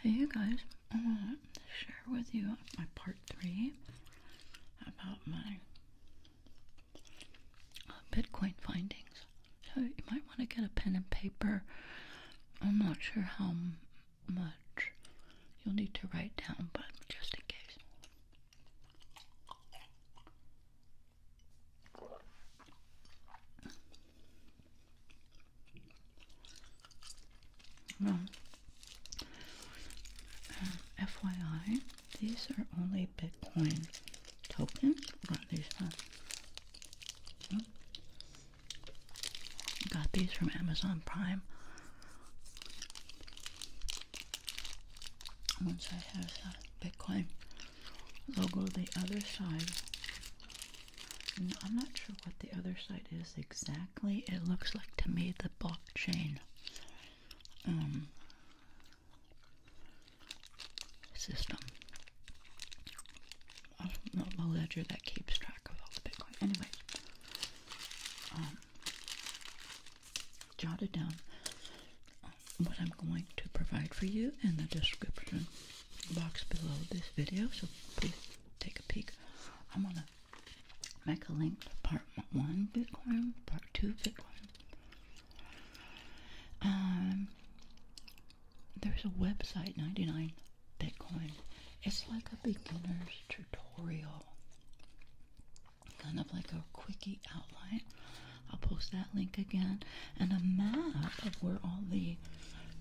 Hey you guys, I want to share with you my part three about my Bitcoin findings. So you might want to get a pen and paper. I'm not sure how much you'll need to write down, but just in case. Uh, FYI, these are only Bitcoin tokens. Got these from uh, got these from Amazon Prime. Once I have uh, Bitcoin Logo the other side. I'm not sure what the other side is exactly. It looks like to me the blockchain. Um, system. the ledger that keeps track of all the Bitcoin. Anyway, um, jotted down what I'm going to provide for you in the description box below this video, so please take a peek. I'm gonna make a link to part one Bitcoin, part two Bitcoin. Um, there's a website, 99 Bitcoin. It's like a beginner's tutorial, kind of like a quickie outline. I'll post that link again and a map of where all the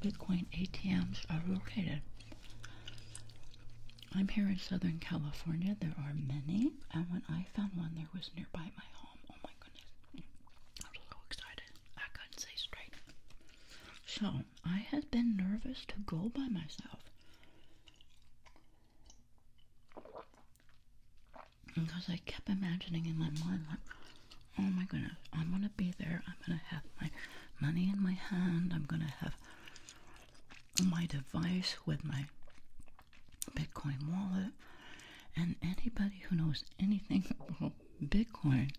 Bitcoin ATMs are located. I'm here in Southern California. There are many, and when I found one, there was nearby my home. Oh my goodness. I was so excited. I couldn't say straight. So, I had been nervous to go by myself because I kept imagining in my mind, like, oh my goodness, I'm gonna be there. I'm gonna have my money in my hand. I'm gonna have my device with my Bitcoin wallet. And anybody who knows anything about Bitcoin,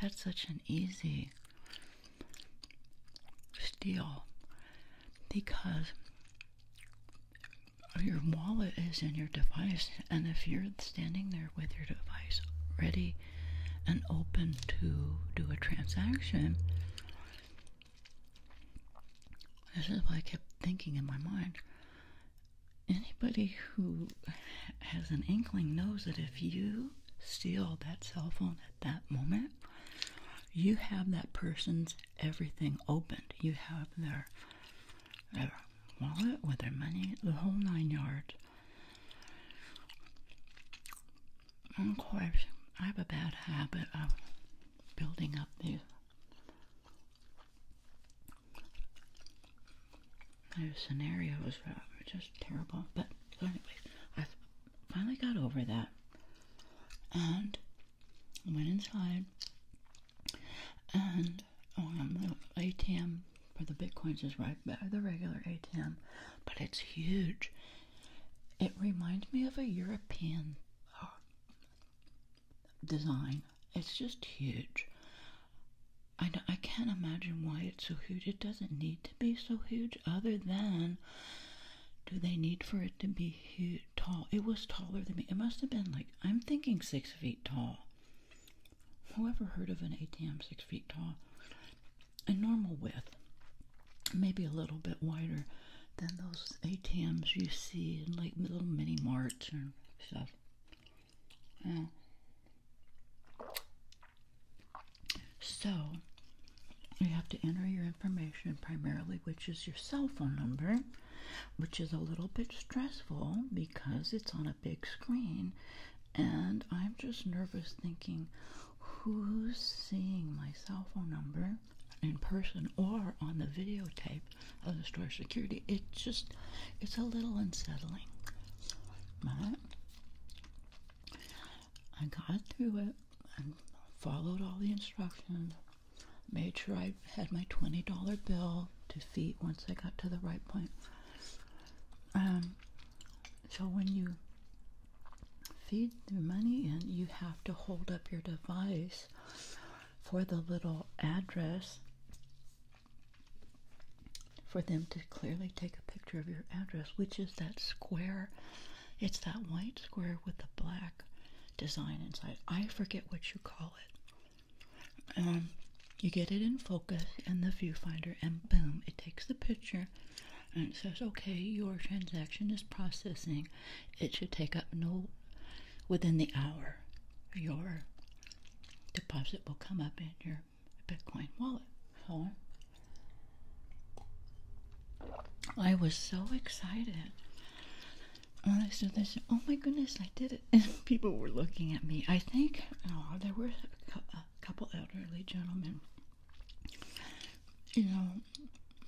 that's such an easy steal because your wallet is in your device and if you're standing there with your device ready and open to do a transaction, this is why I kept thinking in my mind. Anybody who has an inkling knows that if you steal that cell phone at that moment, you have that person's everything opened. You have their their wallet, with their money, the whole nine yards. I have a bad habit of building up these, these scenarios that are just terrible. But anyway, I finally got over that and went inside and um, oh, the ATM for the bitcoins is right by the regular ATM, but it's huge. It reminds me of a European uh, design. It's just huge. I, I can't imagine why it's so huge. It doesn't need to be so huge, other than do they need for it to be huge, tall? It was taller than me. It must have been like, I'm thinking six feet tall. Whoever heard of an ATM six feet tall and normal width, maybe a little bit wider than those ATMs you see in like little mini marts and stuff? So you have to enter your information primarily, which is your cell phone number, which is a little bit stressful because it's on a big screen and I'm just nervous thinking, who's seeing my cell phone number in person or on the videotape of the store security? It just, it's a little unsettling. But I got through it and followed all the instructions, made sure I had my $20 bill to feet once I got to the right point. Um, so when you feed the money in, you have to hold up your device for the little address for them to clearly take a picture of your address, which is that square. It's that white square with the black design inside. I forget what you call it. Um, you get it in focus in the viewfinder, and boom, it takes the picture and it says, okay, your transaction is processing. It should take up no within the hour. Your deposit will come up in your Bitcoin wallet. I was so excited when I said this. Oh my goodness, I did it! And people were looking at me. I think oh, there were couple elderly gentlemen. You know,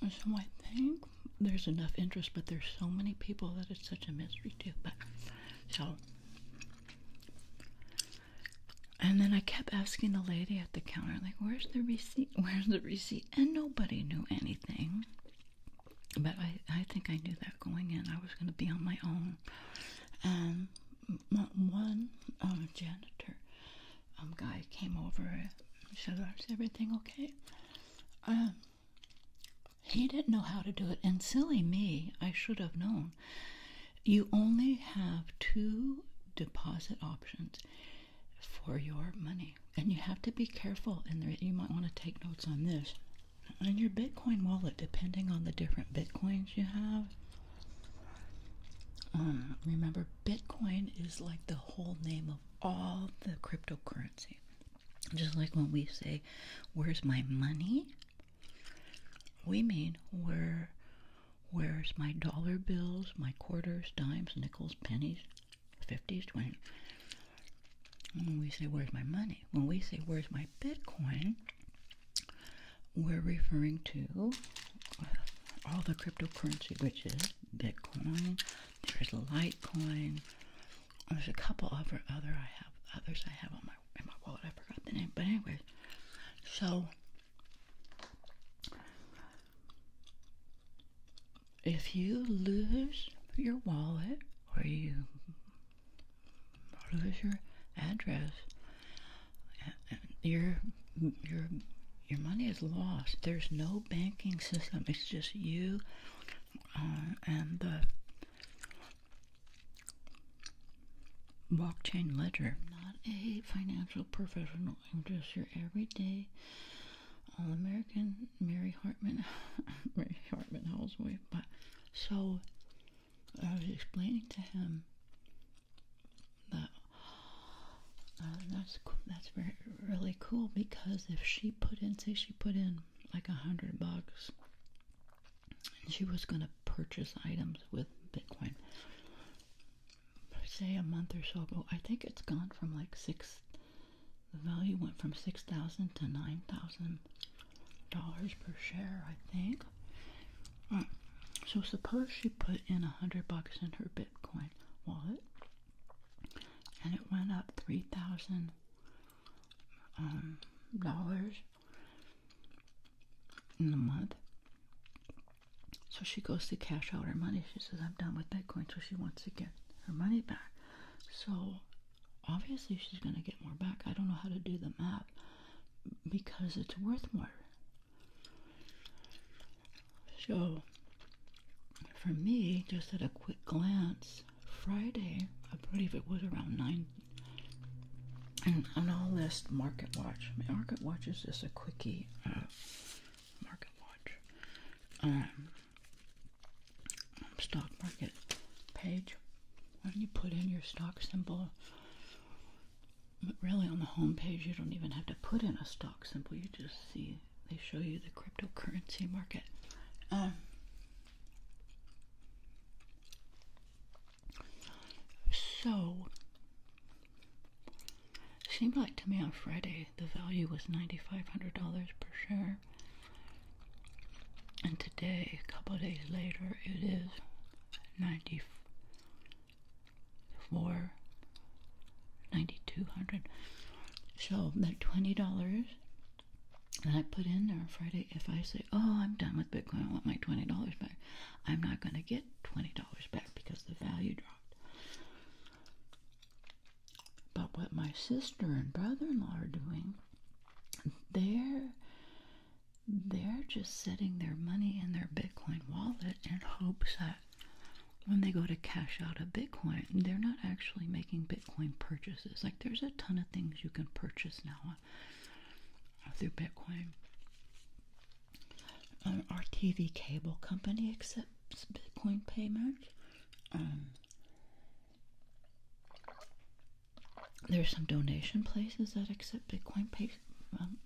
so I think there's enough interest, but there's so many people that it's such a mystery too. But so, and then I kept asking the lady at the counter, like, "Where's the receipt? Where's the receipt?" And nobody knew anything. But I, I think I knew that going in. I was going to be on my own. Um, one um, janitor um, guy came over and said, Is everything okay? Um, he didn't know how to do it. And silly me, I should have known. You only have two deposit options for your money. And you have to be careful. And you might want to take notes on this. On your Bitcoin wallet, depending on the different Bitcoins you have, um, remember, Bitcoin is like the whole name of all the cryptocurrency. Just like when we say, Where's my money? We mean, Where, Where's my dollar bills, my quarters, dimes, nickels, pennies, 50s, 20s? When we say, Where's my money? When we say, Where's my Bitcoin? we're referring to all the cryptocurrency, which is Bitcoin. There's Litecoin. There's a couple other other I have others I have on my in my wallet. I forgot the name, but anyway, so if you lose your wallet or you what is your address. Your your your money is lost. There's no banking system. It's just you uh, and the blockchain ledger. not a financial professional. I'm just your everyday all American Mary Hartman, Mary Hartman Halsway. But so I was explaining to him that uh, that's that's very, really cool because if she put in, say, she put in like a hundred bucks, and she was going to purchase items with Bitcoin. Say a month or so ago, I think it's gone from like six. The value went from six thousand to nine thousand dollars per share, I think so suppose she put in a hundred bucks in her Bitcoin wallet and it went up three thousand um, dollars in the month. So she goes to cash out her money. She says, I'm done with Bitcoin. So she wants to get her money back. So obviously she's going to get more back. I don't know how to do the math because it's worth more. So, for me, just at a quick glance, Friday, I believe it was around 9. And on all list, Market Watch. Market Watch is just a quickie. Uh, market Watch. Um, stock market page. When you put in your stock symbol, really, on the homepage, you don't even have to put in a stock symbol. You just see they show you the cryptocurrency market. Um, so, seemed like to me on Friday the value was $9,500 per share. And today, a couple days later, it is 90, for $9,200. So that $20 that I put in there on Friday, if I say, oh, I'm done with Bitcoin, I want my $20 back, I'm not going to get $20 back because the value dropped. But what my sister and brother in law are doing, they're they're just setting their money in their Bitcoin wallet in hopes that when they go to cash out a Bitcoin, they're not actually making Bitcoin purchases. Like there's a ton of things you can purchase now uh, through Bitcoin. Um, our TV cable company accepts Bitcoin payment. Um, there's some donation places that accept Bitcoin payment. Um,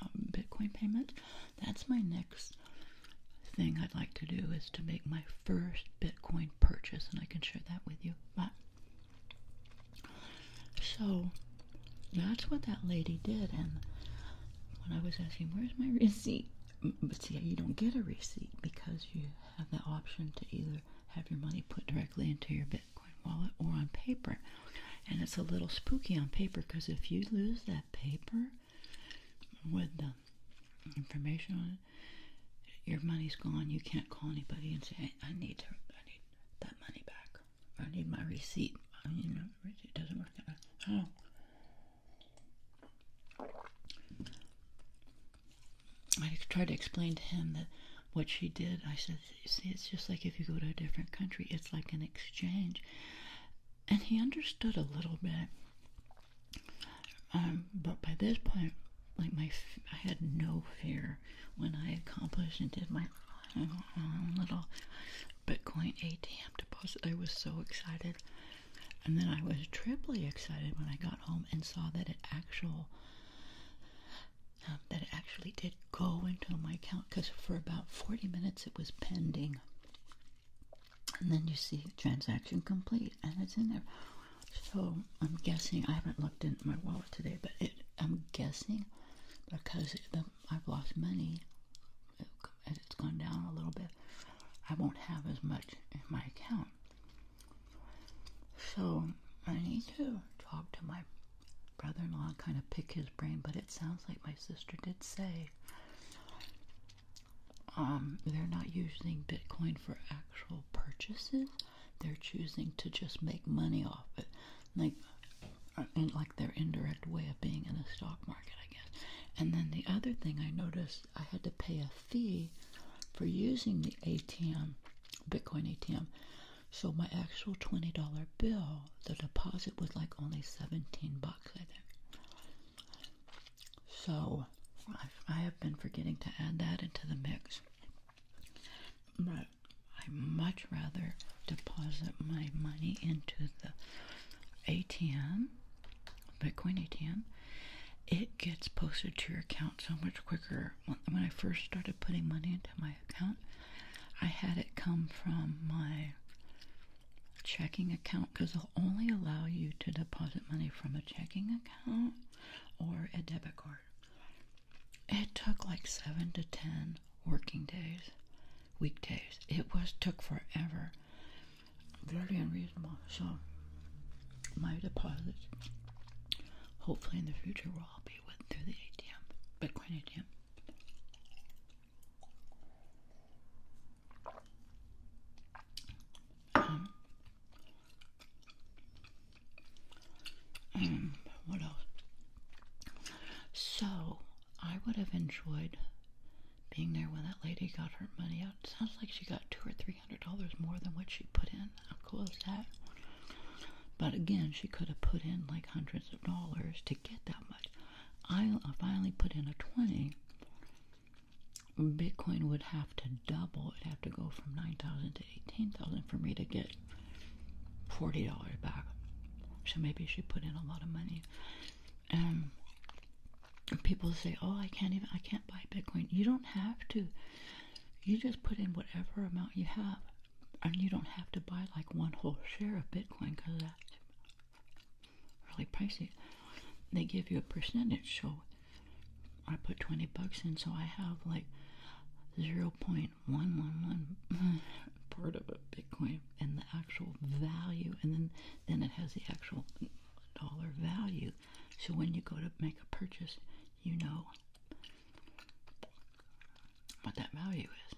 um, Bitcoin payment. That's my next thing I'd like to do is to make my first Bitcoin purchase, and I can share that with you. But so that's what that lady did, and when I was asking, "Where's my receipt?" But mm, see, you don't get a receipt because you have that option to either have your money put directly into your Bitcoin wallet or on paper. And it's a little spooky on paper because if you lose that paper with the information on it, your money's gone. You can't call anybody and say, hey, "I need to, I need that money back. I need my receipt." I mean, you know, it doesn't work that way. Oh. I tried to explain to him that what she did. I said see, it's just like if you go to a different country, it's like an exchange. And he understood a little bit. Um, but by this point, like my, I had no fear when I accomplished and did my own um, little Bitcoin ATM deposit. I was so excited. And then I was triply excited when I got home and saw that it actual um, that it actually did go into my account because for about 40 minutes it was pending. And then you see transaction complete and it's in there. So I'm guessing, I haven't looked in my wallet today, but it, I'm guessing because the, I've lost money, it, it's gone down a little bit, I won't have as much in my account. So I need to talk to my brother-in-law kind of pick his brain, but it sounds like my sister did say um, they're not using Bitcoin for actual purchases. They're choosing to just make money off it, like like their indirect way of being in the stock market, I guess. And then the other thing I noticed, I had to pay a fee for using the ATM, Bitcoin ATM, so my actual $20 bill, the deposit was like only 17 bucks, I think. So I've, been forgetting to add that into the mix. But I much rather deposit my money into the ATM, Bitcoin ATM. It gets posted to your account so much quicker. When I first started putting money into my account, I had it come from my checking account because they'll only allow you to deposit money from a checking account or a debit card. It took like seven to ten working days, weekdays. It was took forever. Very unreasonable. So my deposit hopefully in the future will all be with through the ATM, Bitcoin ATM. Um, um, what else? So I would have enjoyed being there when that lady got her money out. sounds like she got two or three hundred dollars more than what she put in. How cool is that? But again, she could have put in like hundreds of dollars to get that but I finally put in a 20, Bitcoin would have to double. It'd have to go from 9,000 to 18,000 for me to get $40 back. So maybe she put in a lot of money. And people say, "Oh, I can't even. I can't buy Bitcoin." You don't have to. You just put in whatever amount you have and you don't have to buy like one whole share of Bitcoin because that's really pricey. They give you a percentage. So I put 20 bucks in, so I have like 0.111 part of a Bitcoin and the actual value, and then, then it has the actual dollar value. So when you go to make a purchase, you know what that value is.